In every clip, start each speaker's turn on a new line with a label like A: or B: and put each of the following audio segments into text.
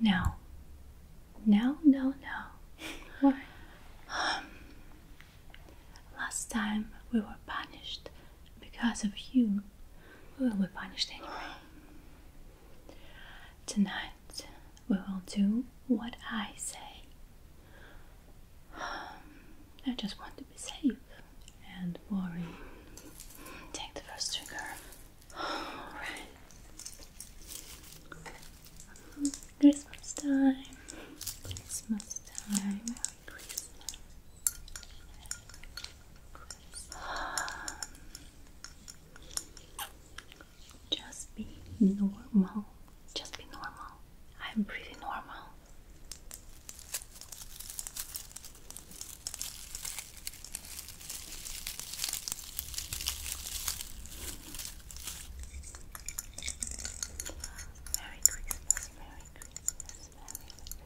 A: No. No, no, no. What? Um, last time we were punished because of you. We will be punished anyway. Tonight we will do what I say. I just want be safe and worry. Take the first trigger. Alright. Christmas time. Christmas time. Just be normal. Just be normal. I'm pretty normal. Merry Christmas,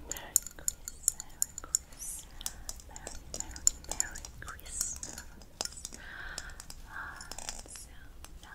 A: Merry Christmas, Merry, Christmas, Merry Merry, Merry, Christmas. And ah, so, uh,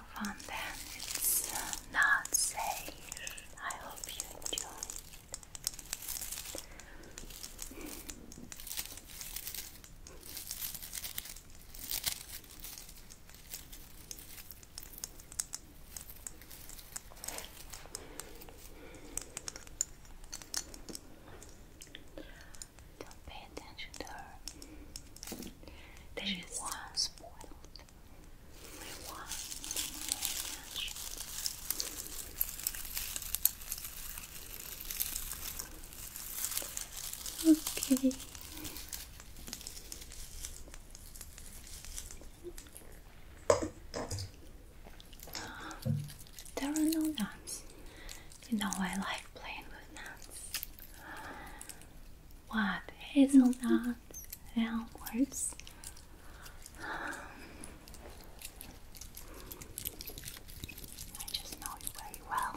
A: fun then. It's uh, not safe. I hope you enjoy it. Don't pay attention to her. That is spoiled. Okay. there are no nuts. You know I like playing with nuts what? Hazelnuts, almonds. I just know you very well.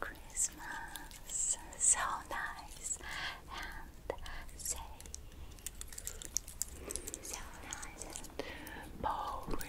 A: Christmas, Christmas, so nice and so nice and boring.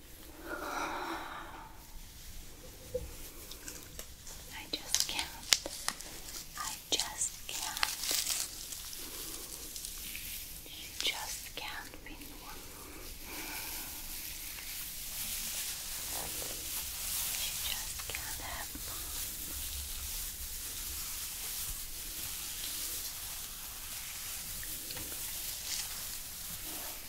A: I just can't. I just can't. You just can't be normal. just can't have fun.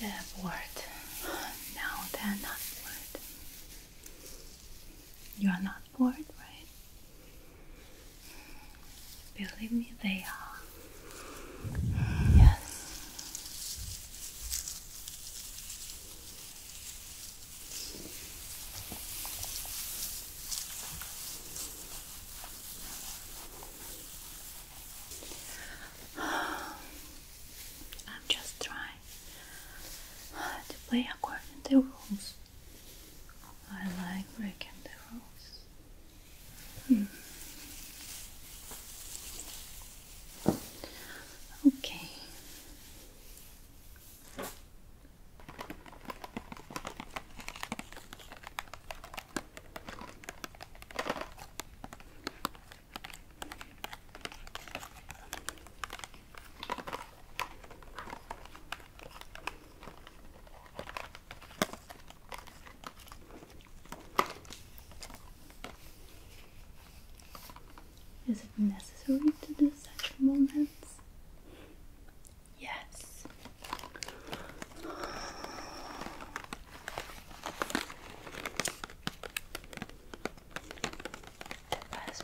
A: They're bored. No, they're not bored. You are not bored, right? Believe me, they are. Yes. I'm just trying to play according to rules. I like breaking the rules. Hmm. Okay. Is it necessary to do such moments? Yes. The first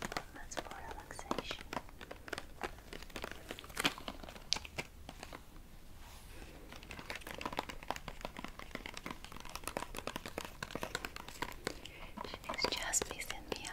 A: one for relaxation. It's just me, Cynthia.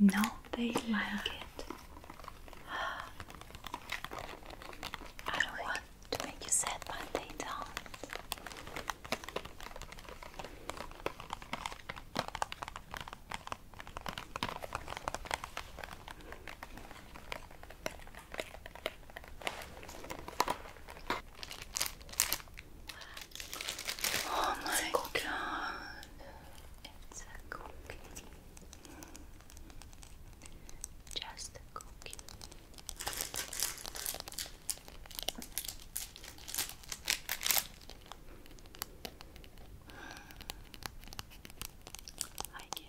A: no, they like it. I don't want to make you sad, but they don't. Oh my god. It's a cookie. Just a cookie. I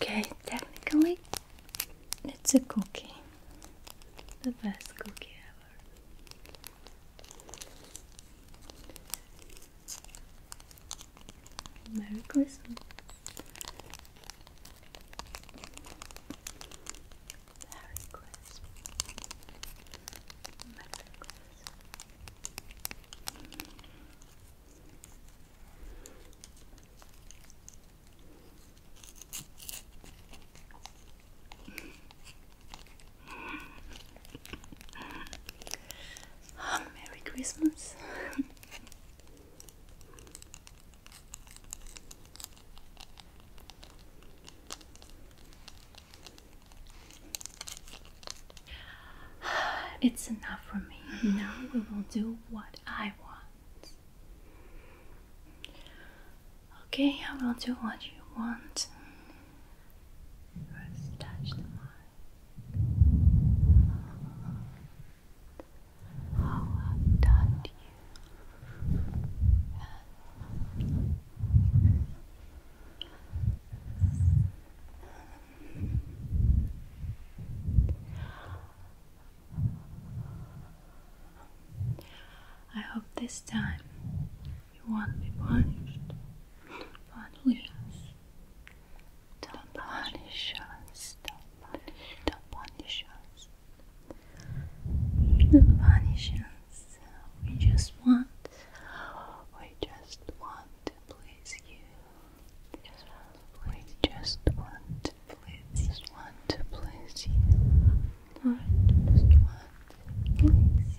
A: Okay, technically, it's a cookie. The best cookie ever. Merry Christmas. Merry Christmas. Merry Christmas. Um, Merry Christmas. It's enough for me. Now we will do what I want. Okay, I will do what you want. I hope this time you won't be punished. But please, don't punish us. Don't punish, don't punish us. Don't punish us we just want, we just want to please you. We just want to please, just want to please you. Lord, just want to please you.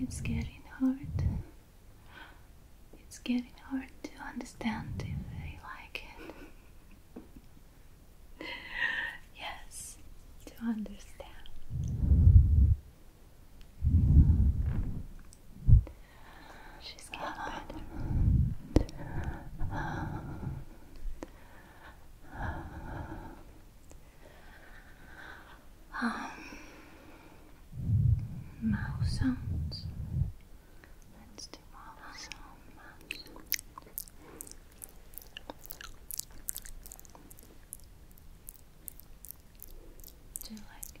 A: It's getting hard. It's getting hard to understand if they like it. yes, to understand. She's getting better um, mouth sounds. Let's do mouth sounds. Do you like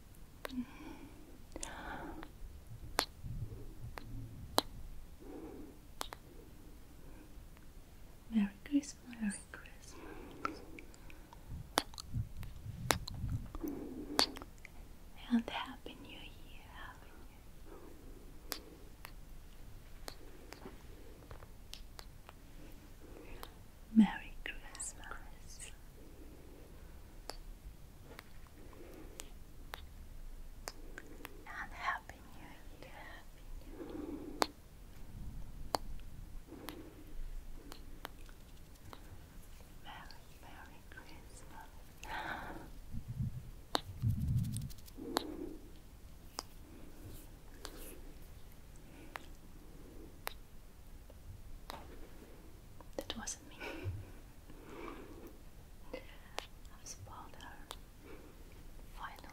A: Merry Christmas, Merry Christmas, and Happy New Year. Happy New Year. Merry Christmas. And Happy New Year. Merry Christmas. That wasn't me. I've spoiled her. Finally.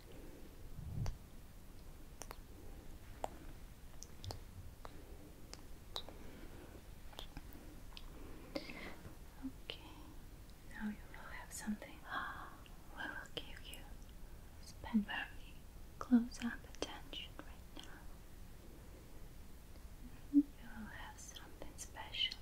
A: Okay, now you will have something. We will give you spend close up attention right now. You will have something special.